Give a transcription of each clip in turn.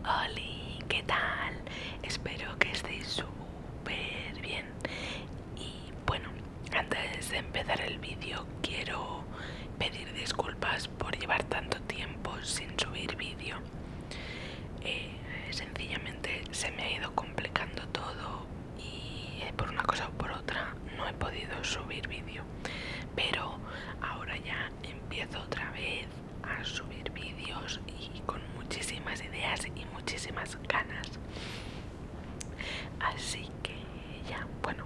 Hola, ¿qué tal? Espero que estéis súper bien. Y bueno, antes de empezar el vídeo quiero pedir disculpas por llevar tanto tiempo sin subir vídeo. Eh, sencillamente se me ha ido complicando todo y por una cosa o por otra no he podido subir vídeo pero ahora ya empiezo otra vez a subir vídeos y con muchísimas ideas y muchísimas ganas así que ya bueno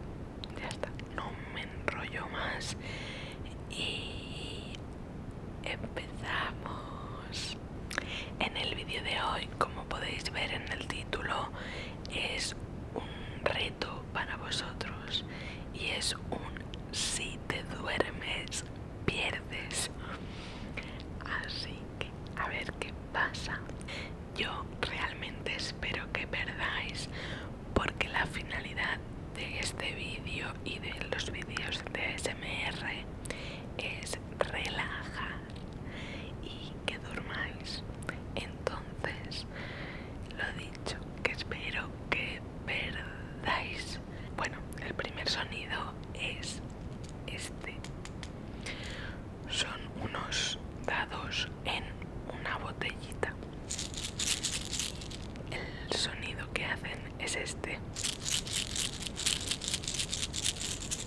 ya está no me enrollo más y empezamos en el vídeo de hoy como podéis ver en el título es un reto para vosotros y es un si te duermes pierdes así que a ver qué pasa yo realmente espero que perdáis porque la finalidad de este vídeo y de los vídeos de smr es relajar y que durmáis. Entonces, lo dicho, que espero que perdáis. Bueno, el primer sonido es este. Son unos dados en una botellita. El sonido que hacen es este.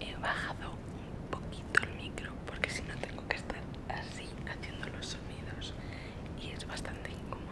He bajado un poquito el micro porque si no tengo que estar así haciendo los sonidos y es bastante incómodo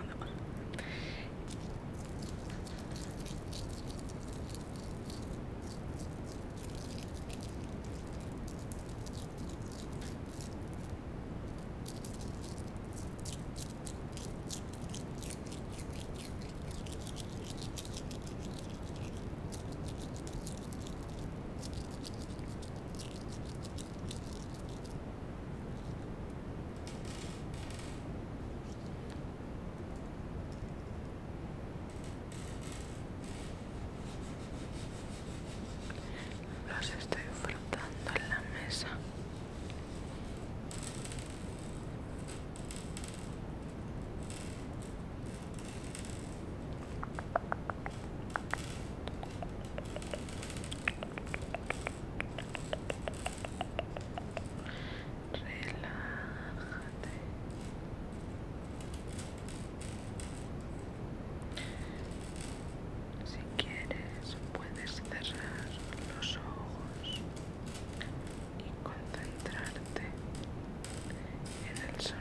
los estoy frotando en la mesa. Relájate. Si quieres, puedes cerrar los ojos y concentrarte es el sonido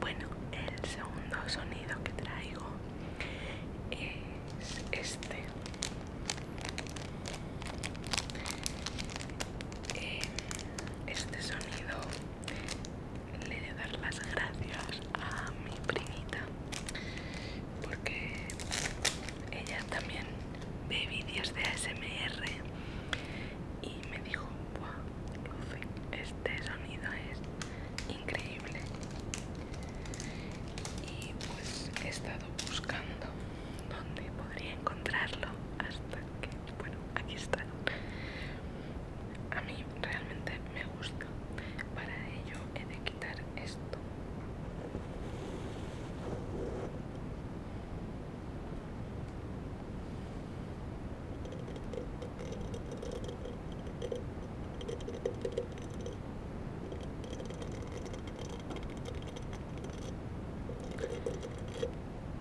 Bueno, el segundo sonido que traigo es este. Eh, este sonido le he de dar las gracias a mi primita porque ella también ve vídeos de ASMR y me dijo, Buah, Lucy, este sonido es increíble. Y pues he estado buscando dónde podría encontrarlo hasta que, bueno, aquí está. A mí realmente me gusta. Para ello he de quitar esto.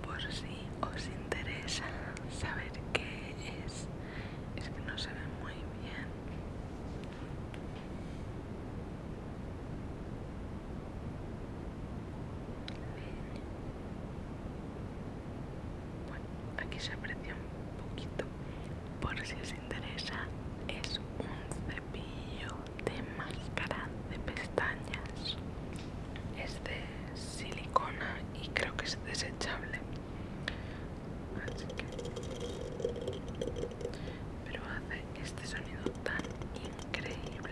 Por si os interesa saber qué es es que no se ve muy bien bueno, aquí se aprecia un poquito por si os interesa es un cepillo de máscara de pestañas es de silicona y creo que es desechable pero hace este sonido tan increíble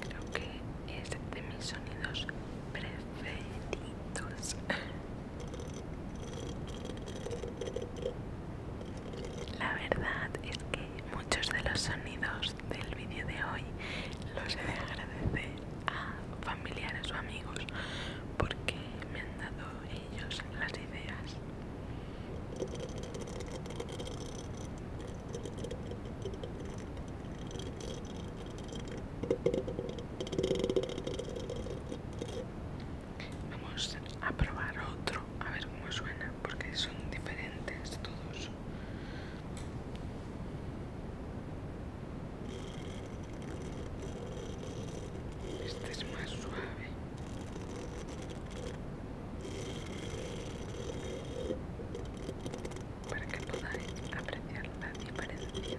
Creo que es de mis sonidos preferidos. La verdad es que muchos de los sonidos del vídeo de hoy los he de agradecer a familiares o amigos porque me han dado ellos las ideas. Vamos a probar otro, a ver cómo suena, porque son diferentes todos. Este es más suave para que podáis apreciar la diferencia.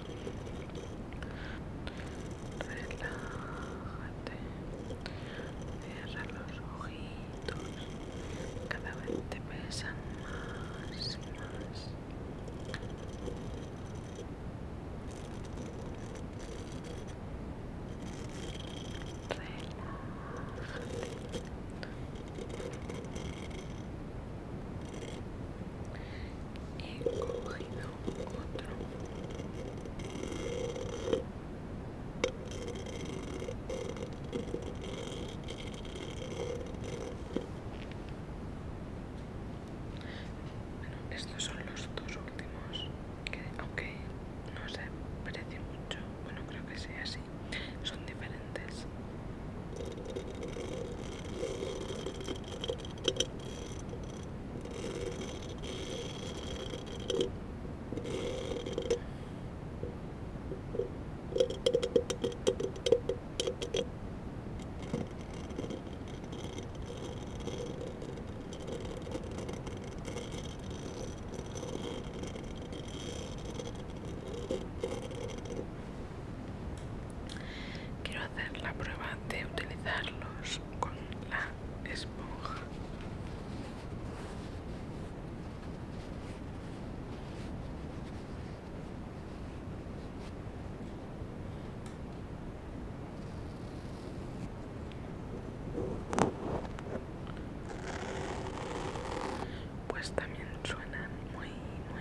Relájate. Cierra los ojitos. Cada vez te pesan más y más. Relájate. He cogido otro. Bueno, estos son los dos últimos que aunque no se parece mucho, bueno creo que sea así, son diferentes. Quiero hacer la prueba de utilizarlos con la esponja. Pues también suenan muy, muy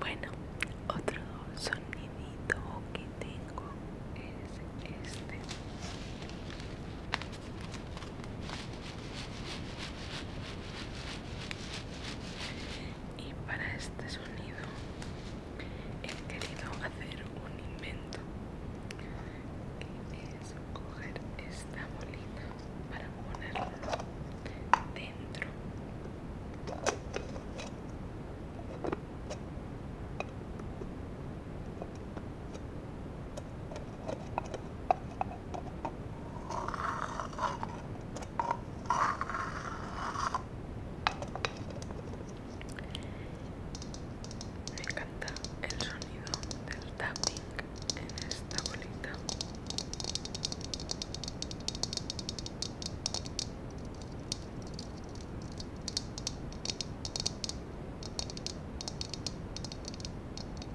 Bueno, otro sonidito que tengo es este. Y para este sonido he querido hacer un invento que es coger esta bolita para ponerla dentro me encanta el sonido del tapping en esta bolita.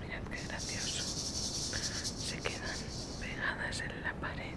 Mirad qué gracioso. Se quedan pegadas en la pared.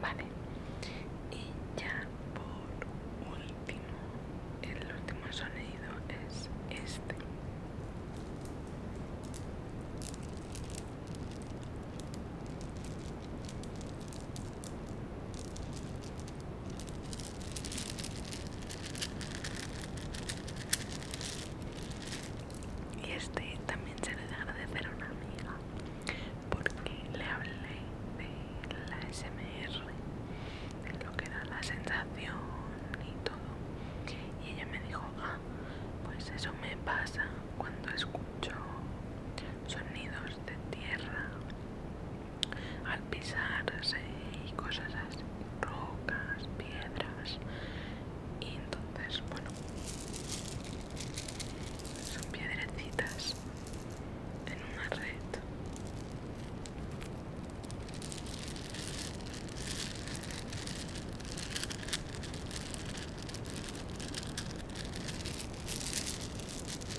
Vale, y ya por último, el último sonido es este. Y este también se le agradecer a una amiga porque le hablé de la SMR, de lo que da la sensación y todo. Y ella me dijo, ah, pues eso me pasa cuando escucho sonidos de tierra al pisarse y cosas así, rocas, piedras y entonces bueno son piedrecitas en una red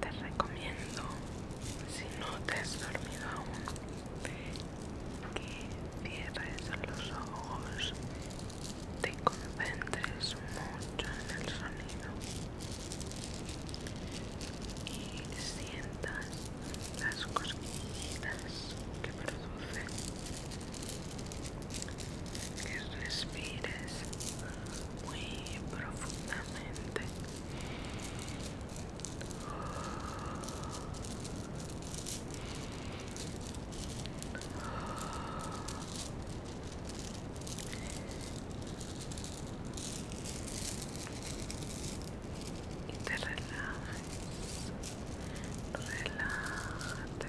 Te recomiendo, si no te has dormido aún, que cierres los ojos, te concentres mucho en el sonido y sientas las cosquillitas que produce que respires muy profundamente y te relajes relájate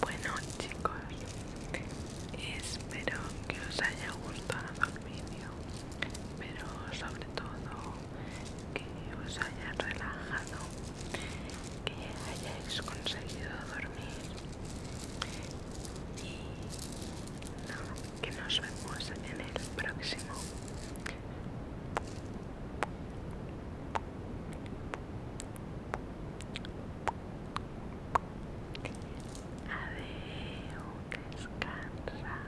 Bueno chicos, espero que os haya gustado el vídeo, pero sobre todo que os haya relajado, que hayáis conseguido dormir y que nos vemos en el próximo. que descansa.